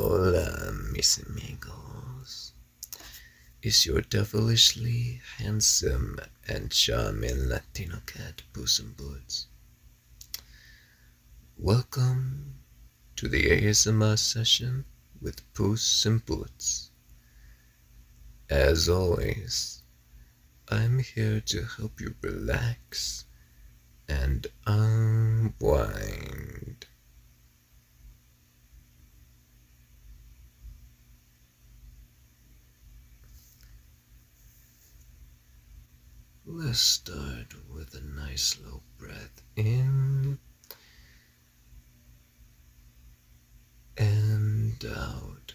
Hola, mis amigos. Is your devilishly handsome and charming Latino cat Bosom Boots? Welcome to the ASMR session with Puss and Boots. As always, I'm here to help you relax and unwind. Let's start with a nice slow breath in and out.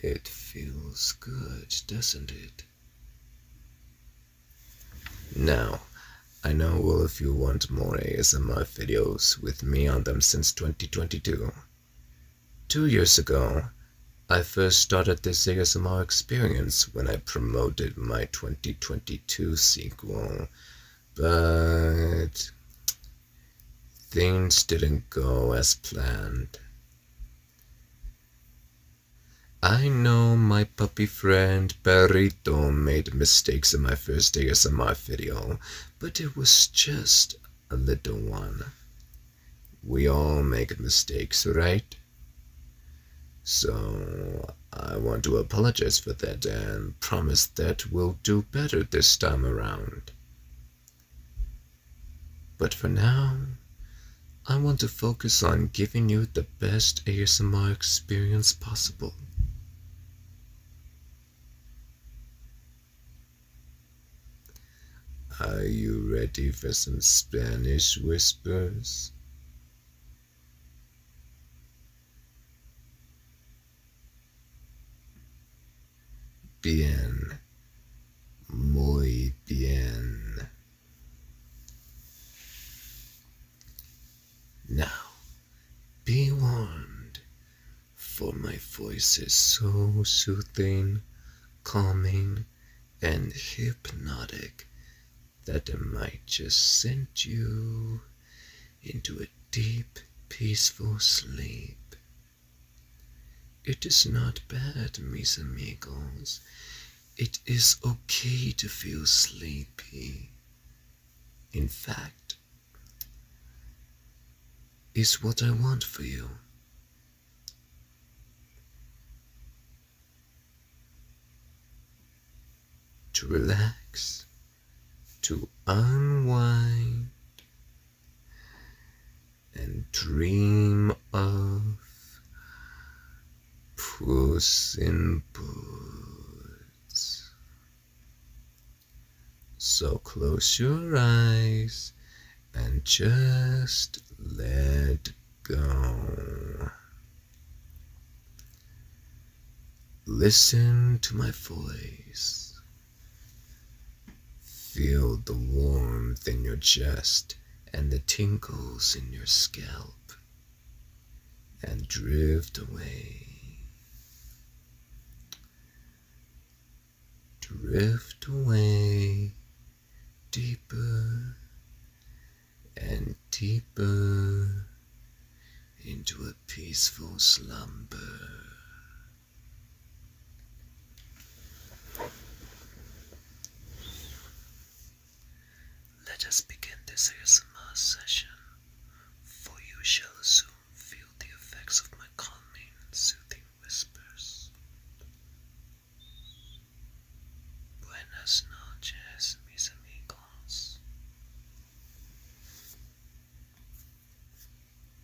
It feels good, doesn't it? Now, I know all of you want more ASMR videos with me on them since 2022. Two years ago, I first started this ASMR experience when I promoted my 2022 sequel, but things didn't go as planned. I know my puppy friend Perrito made mistakes in my first days ASMR video, but it was just a little one. We all make mistakes, right? So I want to apologize for that and promise that we'll do better this time around. But for now, I want to focus on giving you the best ASMR experience possible. Are you ready for some Spanish whispers? bien, muy bien. Now, be warned, for my voice is so soothing, calming, and hypnotic that it might just send you into a deep, peaceful sleep. It is not bad, mis amigos. It is okay to feel sleepy. In fact, is what I want for you. To relax to unwind and dream of Puss in Boots. So close your eyes and just let go. Listen to my voice. Feel the warmth in your chest and the tinkles in your scalp and drift away. Drift away deeper and deeper into a peaceful slumber. Let us begin this ASMR session, for you shall soon feel the effects of my calming, soothing whispers. Buenas noches, mis amigos.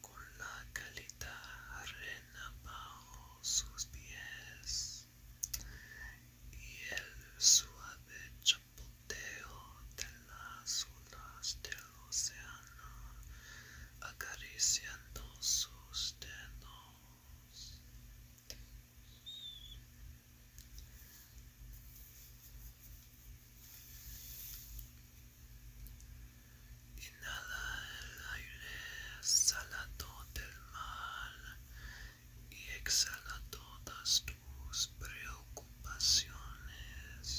con la calita arena bajo sus pies y el suave chapoteo de las olas del océano acariciando sus dedos. Inhala el aire todo del mal y exhala todas tus preocupaciones.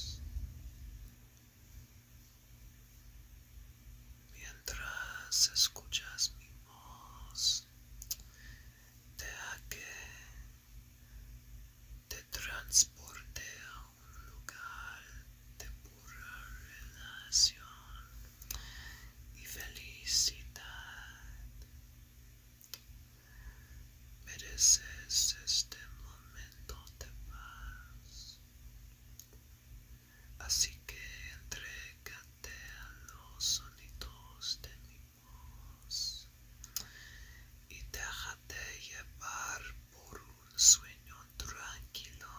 Mientras escuchas mi voz, deja que te transporte lugar de pura relación y felicidad. Mereces este momento de paz. Así que entrégate a los sonidos de mi voz y déjate llevar por un sueño tranquilo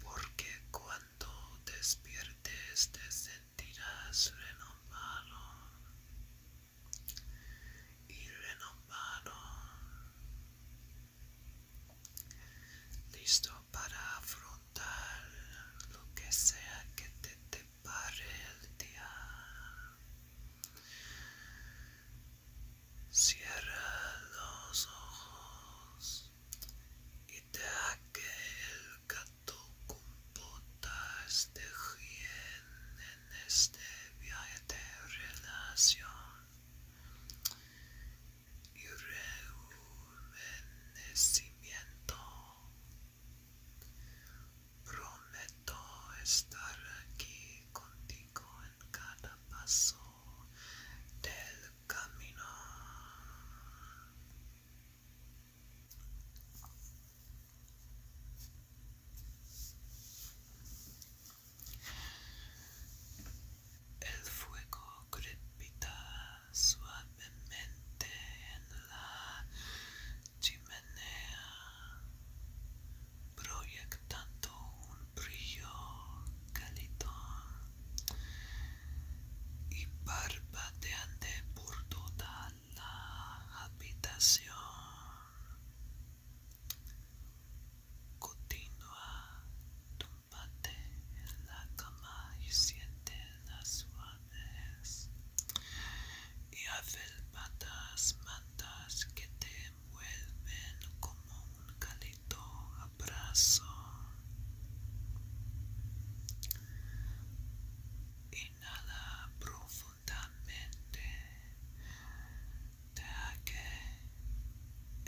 porque cuando despiertes te sentirás renovado y renovado listo para afrontar lo que sea que te pare el día Cierra los ojos y deja que el gato compota este bien en este viaje de relación y rejuvenecimiento. Prometo estar aquí contigo en cada paso del camino. El fuego crepita suavemente en la chimenea proyectando un brillo cálido y parpadeante por toda la habitación. Continúa tumbate en la cama y siente las suaves y patas mantas que te envuelven como un cálido abrazo. Inhala profundamente, deja que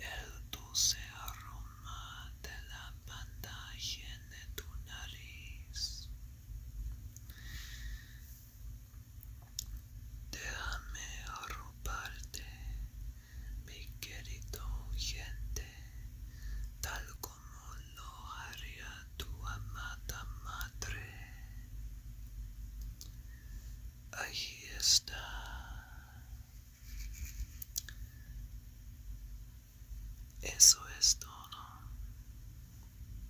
el dulce aroma de la panda llene tu nariz. Déjame arroparte, mi querido gente, tal como lo haría tu amada madre. Ahí está. Eso es todo.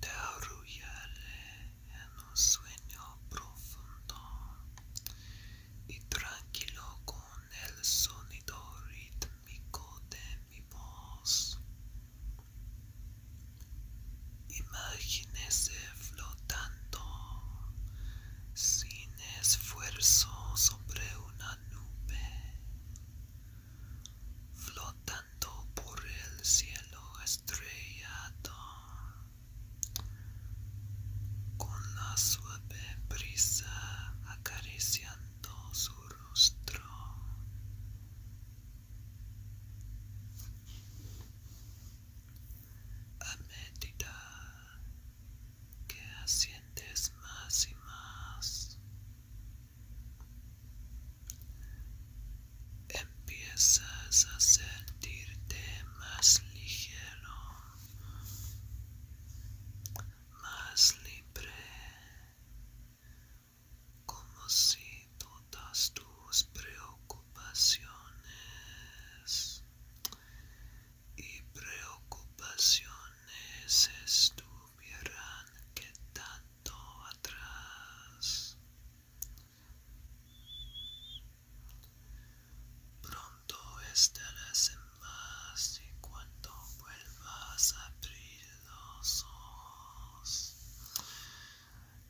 Te arrullaré en un sueño profundo y tranquilo con el sonido rítmico de mi voz. Imagínese flotando sin esfuerzo sobre una nube flotando por el cielo estrellado con la suave brisa acariciando su rostro a medida que asientes más y más. Empiezas a sentirte más ligero, más libre, como si todas tus preocupaciones y preocupaciones estuvieran que tanto atrás. Pronto estarás en paz y cuando vuelvas a abrir los ojos,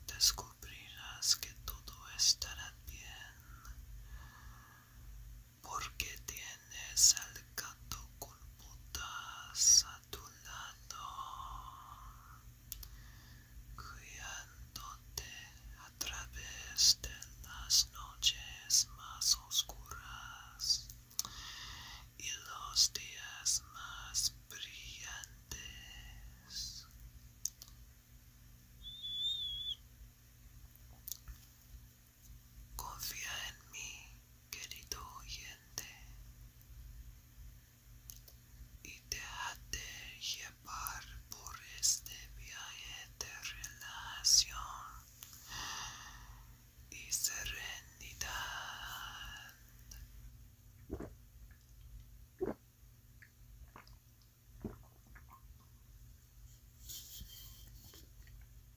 descubrirás que todo estará bien. porque tienes al gato con a tu lado, guiándote a través de las noches más oscuras y los días más brillantes. Confía en mí, querido oyente, y te déjate llevar por este viaje de relación y serenidad.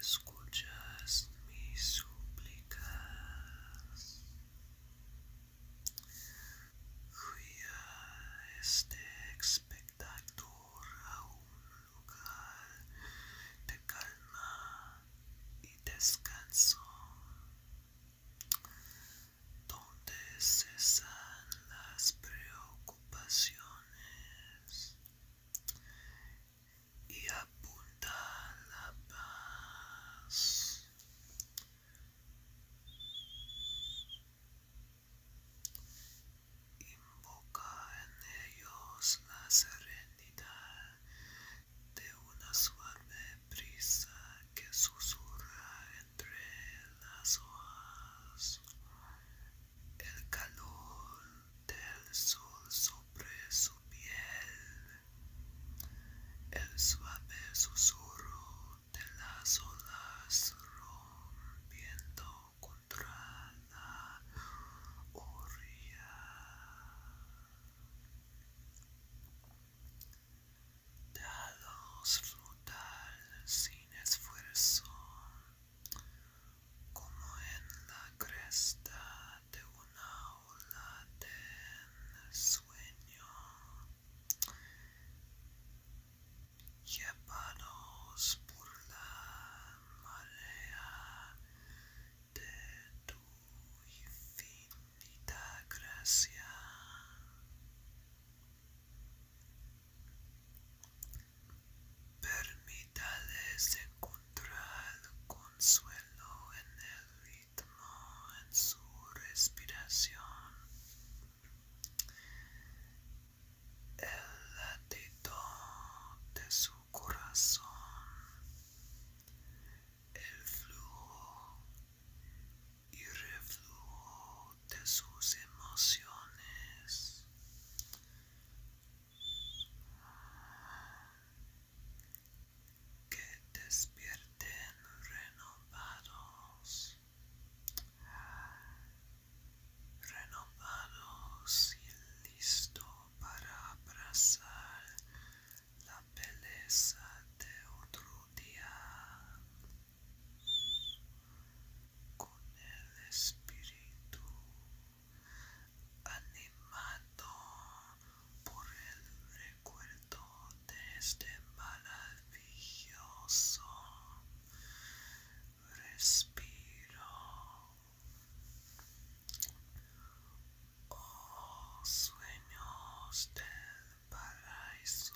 Escuchas mis súplicas. a este espectador a un lugar de calma y descanso, donde cesan las preocupaciones y apunta la paz. Invoca en ellos la serenidad de una suave brisa que susurra entre las hojas. El calor del sol sobre su piel, el suave susurro de las olas rompiendo contra la orilla. Déjalos frutales sin esfuerzo como en la cresta de una ola de sueño, llevados por la marea de tu infinita gracia. Permítales encontrar consuelo en el ritmo, en su respiración. El latido de su corazón, el flujo y reflujo de sus emociones, que despierten renovados, renovados y listo para abrazar la belleza de otro día con el espíritu animado por el recuerdo de este maravilloso respiro. Oh, sueños del paraíso,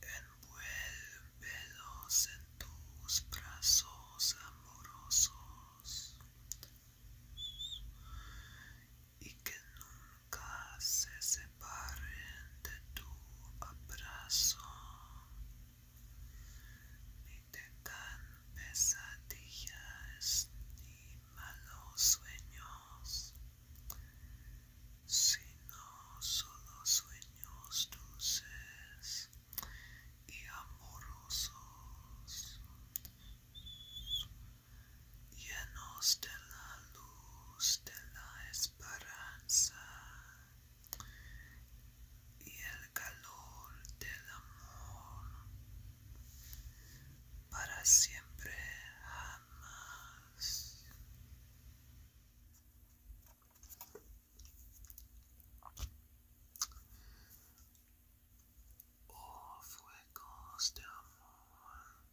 envuelve velos en tus brazos amorosos y que nunca se separen de tu abrazo ni te dan pesadillas ni malos sueños sino solo sueños dulces y amorosos, llenos de la luz de la esperanza y el calor del amor, para siempre jamás. Oh, fuegos de amor,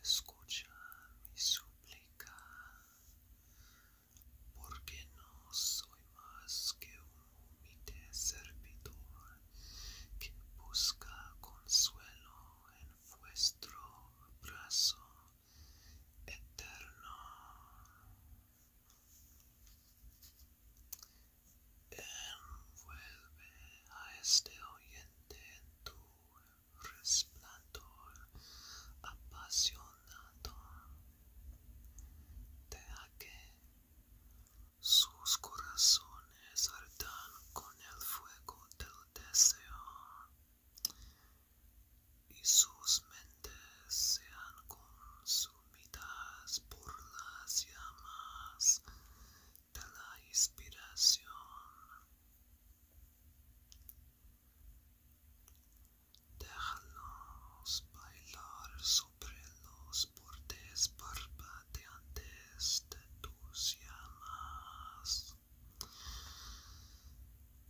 escucha mi súplica, porque no soy más que un humilde servidor que busca consuelo en vuestro brazo eterno. Envuelve a este oyente en tu resplandor apasionado. a que sus corazones ardan con el fuego del deseo y sus mentes sean consumidas por las llamas de la inspiración. Déjalos bailar sobre los bordes parpadeantes de tus llamas,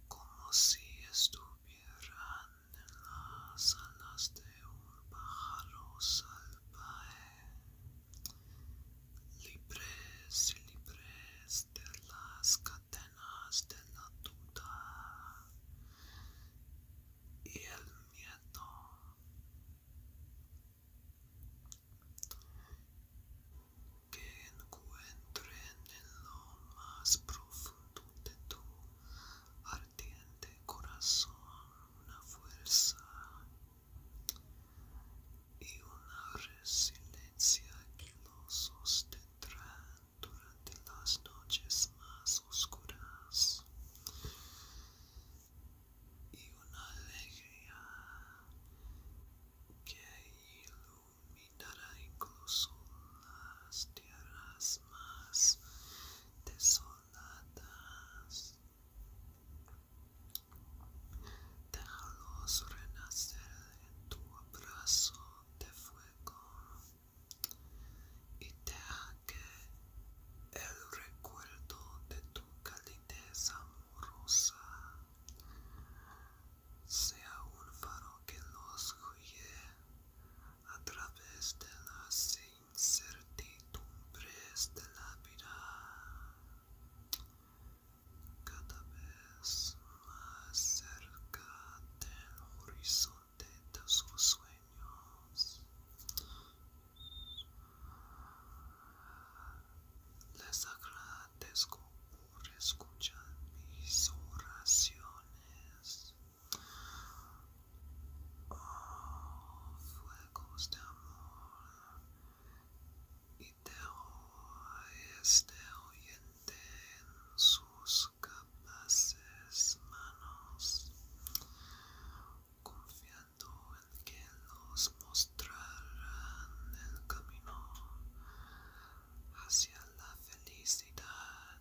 como si estuvieran las alas de un pájaro salvaje, libres y libres de las cadenas de la duda y el miedo. Que encuentren en lo más profundo de tú ardiente corazón, una fuerza y una resiliencia que lo sostendrá durante las noches más oscuras y una alegría que iluminará incluso las tierras mismas desoladas. Déjalos renacer en tu abrazo de fuego y deja que el recuerdo de tu calidez amorosa sea un faro que los guíe a través de las incertidumbres de la vida, cada vez más cerca del horizonte de sus sueños. Les agradezco por escuchar mis oraciones. Oh, fuegos de amor y terror a este oyente en sus capaces manos, confiando en que los mostrarán el camino hacia la felicidad.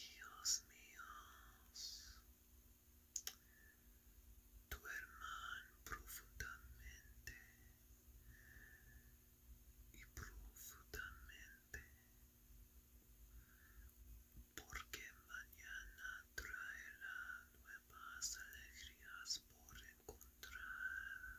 Dios mío, tu hermano profundamente y profundamente, porque mañana traerá nuevas alegrías por encontrar.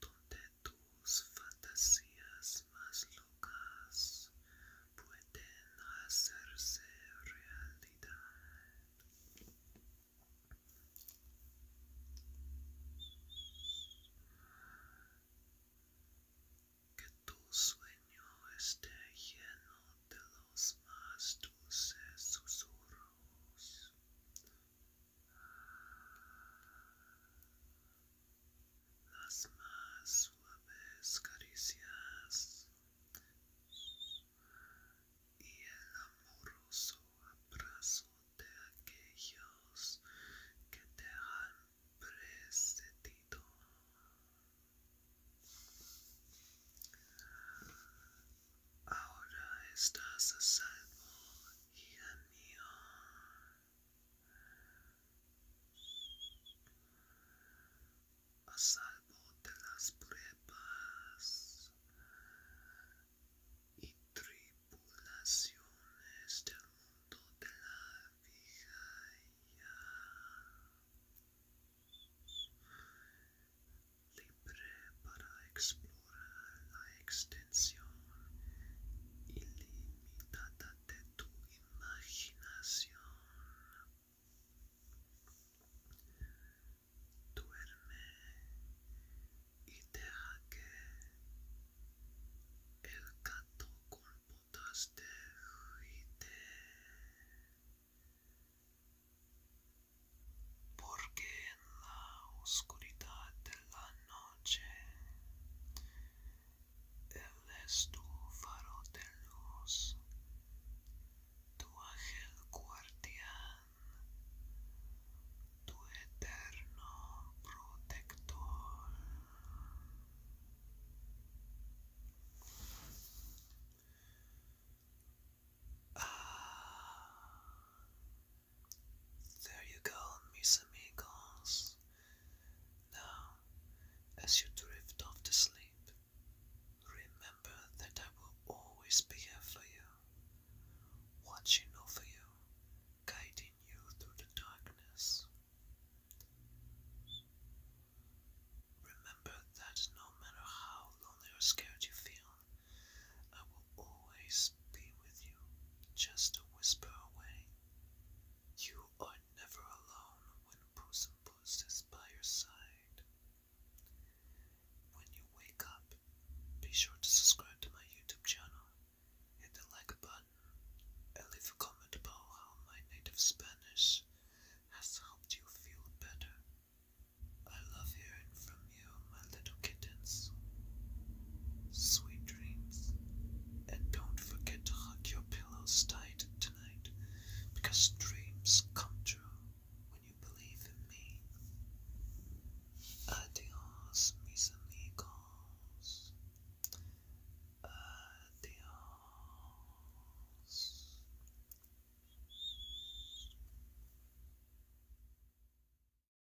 donde tus fantasías más locas pueden hacerse realidad. Que tu sueño esté lleno de los más dulces susurros las más suaves caricias y el amoroso abrazo de aquellos que te han precedido. Ahora estás a salvo, hija mía, A salvo de las pruebas y tripulaciones del mundo de la vida. Libre para explorar la extensión ilimitada de tu imaginación. Duerme y deja que el gato con botas de porque la oscuridad de la noche. Él es tu luz, tu ángel guardián, tu eterno protector. Ah. There you go, mis amigos. Now, as you drift off to sleep, remember that I will always be here for you, watching over you, guiding you through the darkness. Remember that no matter how lonely or scared you feel, I will always be with you, just a whisper away. You are never alone when Puss in by your side. When you wake up, be sure to subscribe to my YouTube channel, hit the like button, and leave a comment about how my native Spanish has helped you feel better. I love hearing from my little kittens. Sweet dreams. And don't forget to hug your pillows tight tonight because dreams come true when you believe in me. Adios, mis amigos. Adios.